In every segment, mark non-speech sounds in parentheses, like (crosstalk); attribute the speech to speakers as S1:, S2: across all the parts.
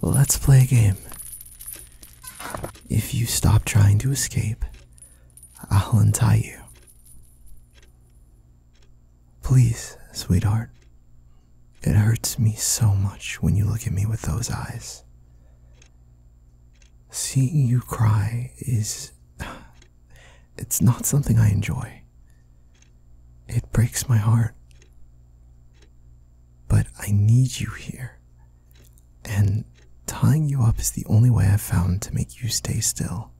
S1: Let's play a game. If you stop trying to escape, I'll untie you. Please, sweetheart. It hurts me so much when you look at me with those eyes. Seeing you cry is. It's not something I enjoy. It breaks my heart. But I need you here. And tying you up is the only way I've found to make you stay still.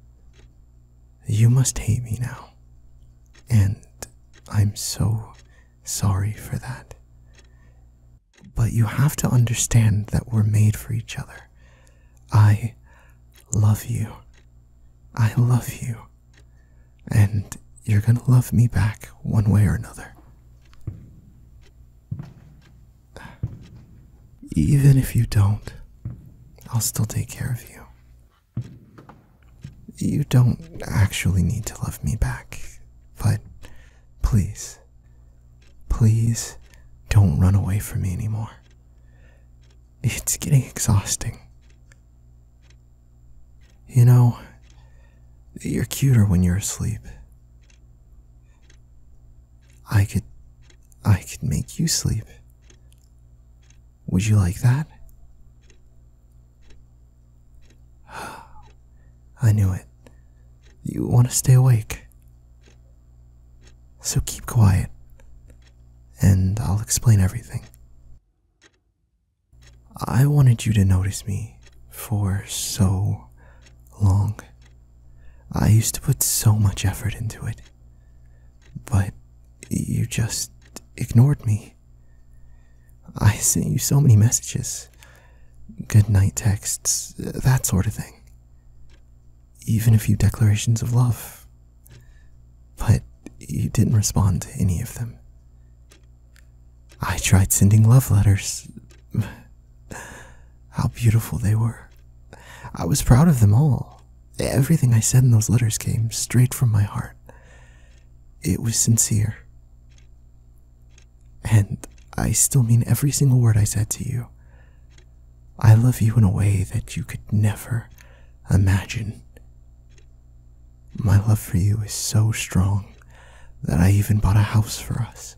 S1: You must hate me now. And I'm so Sorry for that. But you have to understand that we're made for each other. I love you. I love you. And you're gonna love me back one way or another. Even if you don't, I'll still take care of you. You don't actually need to love me back, but please, please don't run away from me anymore. It's getting exhausting. You know, you're cuter when you're asleep. I could I could make you sleep. Would you like that? (sighs) I knew it. You want to stay awake. So keep quiet, and I'll explain everything. I wanted you to notice me for so long. I used to put so much effort into it, but you just ignored me. I sent you so many messages, good night texts, that sort of thing. Even a few declarations of love. But you didn't respond to any of them. I tried sending love letters. (sighs) How beautiful they were. I was proud of them all. Everything I said in those letters came straight from my heart. It was sincere. And I still mean every single word I said to you. I love you in a way that you could never imagine. My love for you is so strong that I even bought a house for us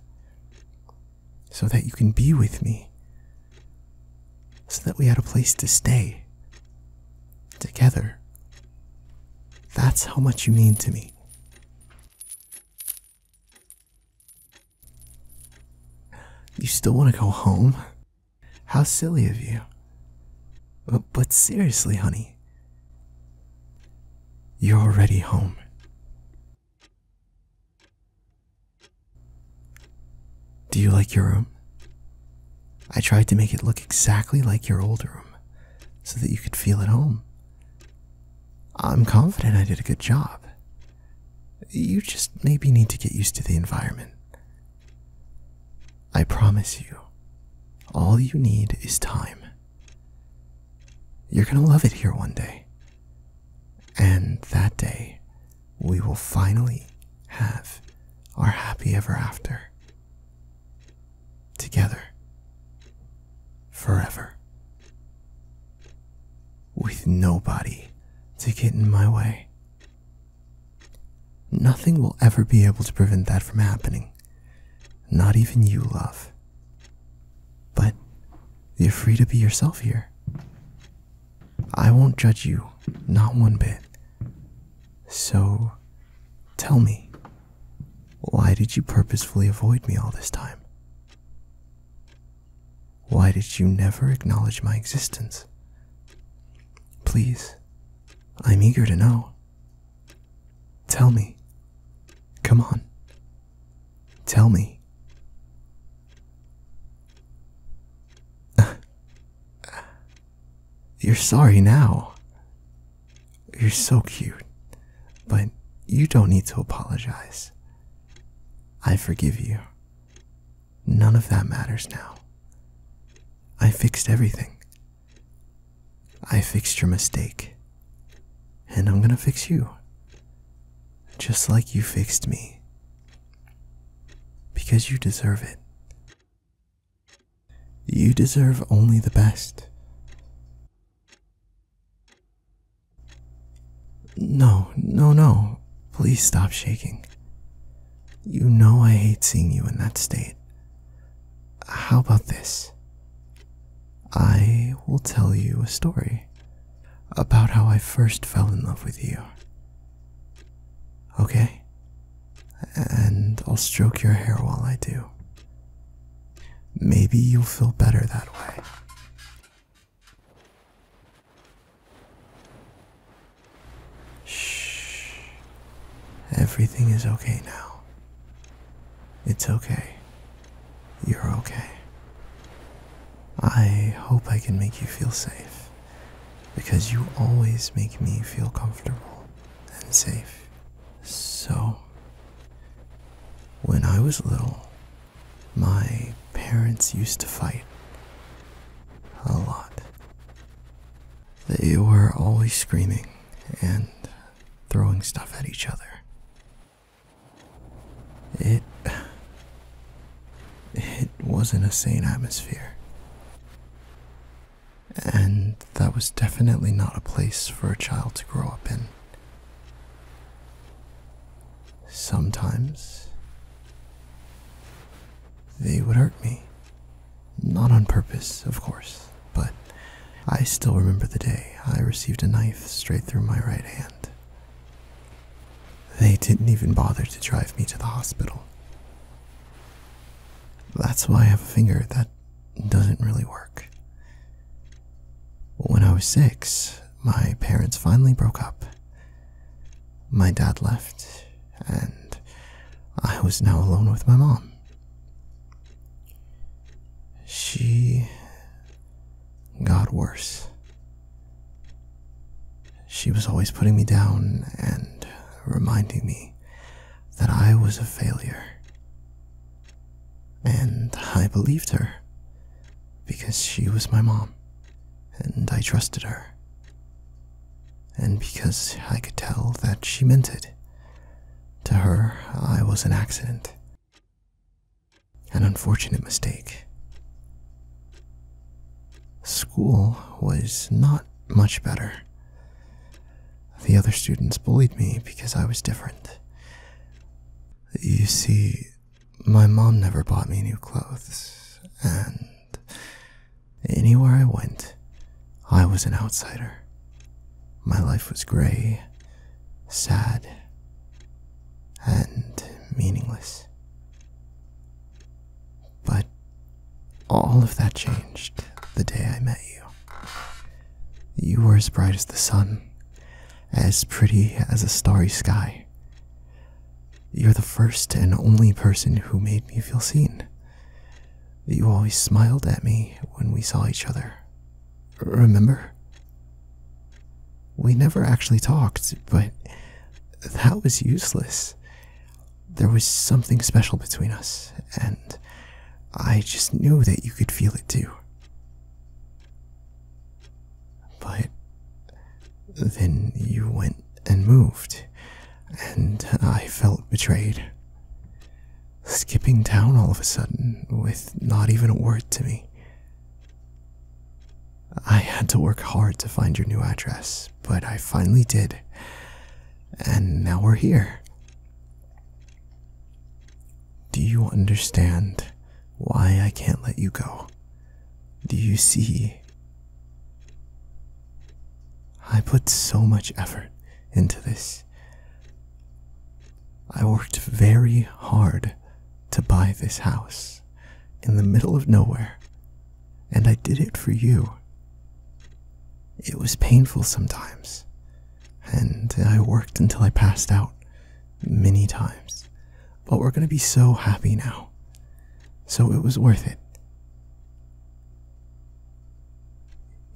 S1: so that you can be with me so that we had a place to stay together. That's how much you mean to me. You still want to go home? How silly of you. But, seriously, honey, you're already home. Do you like your room? I tried to make it look exactly like your old room so that you could feel at home. I'm confident I did a good job. You just maybe need to get used to the environment. I promise you, all you need is time. You're going to love it here one day. And that day we will finally have our happy ever after together forever with nobody to get in my way. Nothing will ever be able to prevent that from happening, not even you, love. But you're free to be yourself here. I won't judge you, not one bit. So, tell me, why did you purposefully avoid me all this time? Why did you never acknowledge my existence? Please, I'm eager to know. Tell me. Come on. Tell me. (laughs) You're sorry now. You're so cute, but you don't need to apologize. I forgive you. None of that matters now. I fixed everything. I fixed your mistake. And I'm gonna fix you. Just like you fixed me because you deserve it. You deserve only the best. No, no, no. Please stop shaking. You know I hate seeing you in that state. How about this? I will tell you a story about how I first fell in love with you. Okay? And I'll stroke your hair while I do. Maybe you'll feel better that way. Shh. Everything is okay now. It's okay. You're okay. I hope I can make you feel safe because you always make me feel comfortable and safe. So, when I was little, my parents used to fight a lot. They were always screaming and throwing stuff at each other. It. It wasn't a sane atmosphere. And that was definitely not a place for a child to grow up in. Sometimes they would hurt me. Not on purpose, of course, but I still remember the day I received a knife straight through my right hand. They didn't even bother to drive me to the hospital. That's why I have a finger that doesn't really work. When I was six, my parents finally broke up. My dad left, and I was now alone with my mom. She got worse. She was always putting me down and reminding me that I was a failure. And I believed her because she was my mom and I trusted her. And because I could tell that she meant it. To her, I was an accident. An unfortunate mistake. School was not much better. The other students bullied me because I was different. You see, my mom never bought me new clothes, and anywhere I went, I was an outsider. My life was gray, sad, and meaningless. But all of that changed the day I met you. You were as bright as the sun, as pretty as a starry sky. You're the first and only person who made me feel seen. You always smiled at me when we saw each other. Remember? We never actually talked, but that was useless. There was something special between us, and I just knew that you could feel it too. But then you went and moved, and I felt betrayed skipping town all of a sudden with not even a word to me. I had to work hard to find your new address, but I finally did. And now we're here. Do you understand why I can't let you go? Do you see? I put so much effort into this. I worked very hard to buy this house in the middle of nowhere, and I did it for you. It was painful sometimes, and I worked until I passed out many times, but we're going to be so happy now. So it was worth it.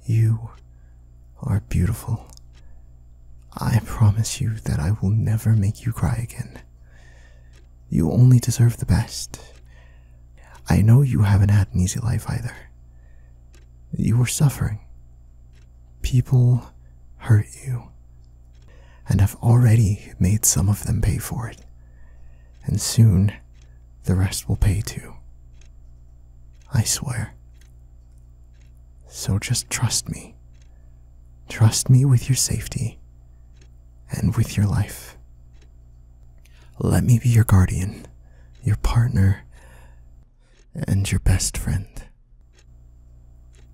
S1: You are beautiful. I promise you that I will never make you cry again. You only deserve the best. I know you haven't had an easy life either. You were suffering. People hurt you, and have already made some of them pay for it. And soon the rest will pay too. I swear. So just trust me. Trust me with your safety and with your life. Let me be your guardian, your partner, and your best friend.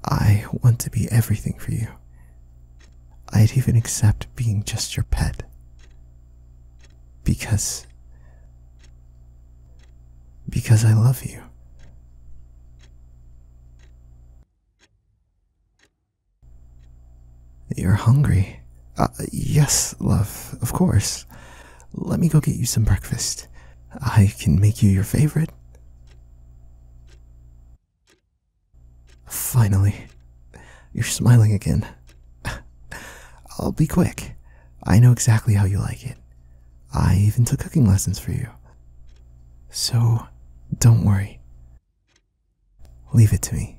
S1: I want to be everything for you. I'd even accept being just your pet because because I love you. You're hungry. Uh, yes, love, of course. Let me go get you some breakfast. I can make you your favorite. Finally, you're smiling again. I'll be quick. I know exactly how you like it. I even took cooking lessons for you. So, don't worry. Leave it to me.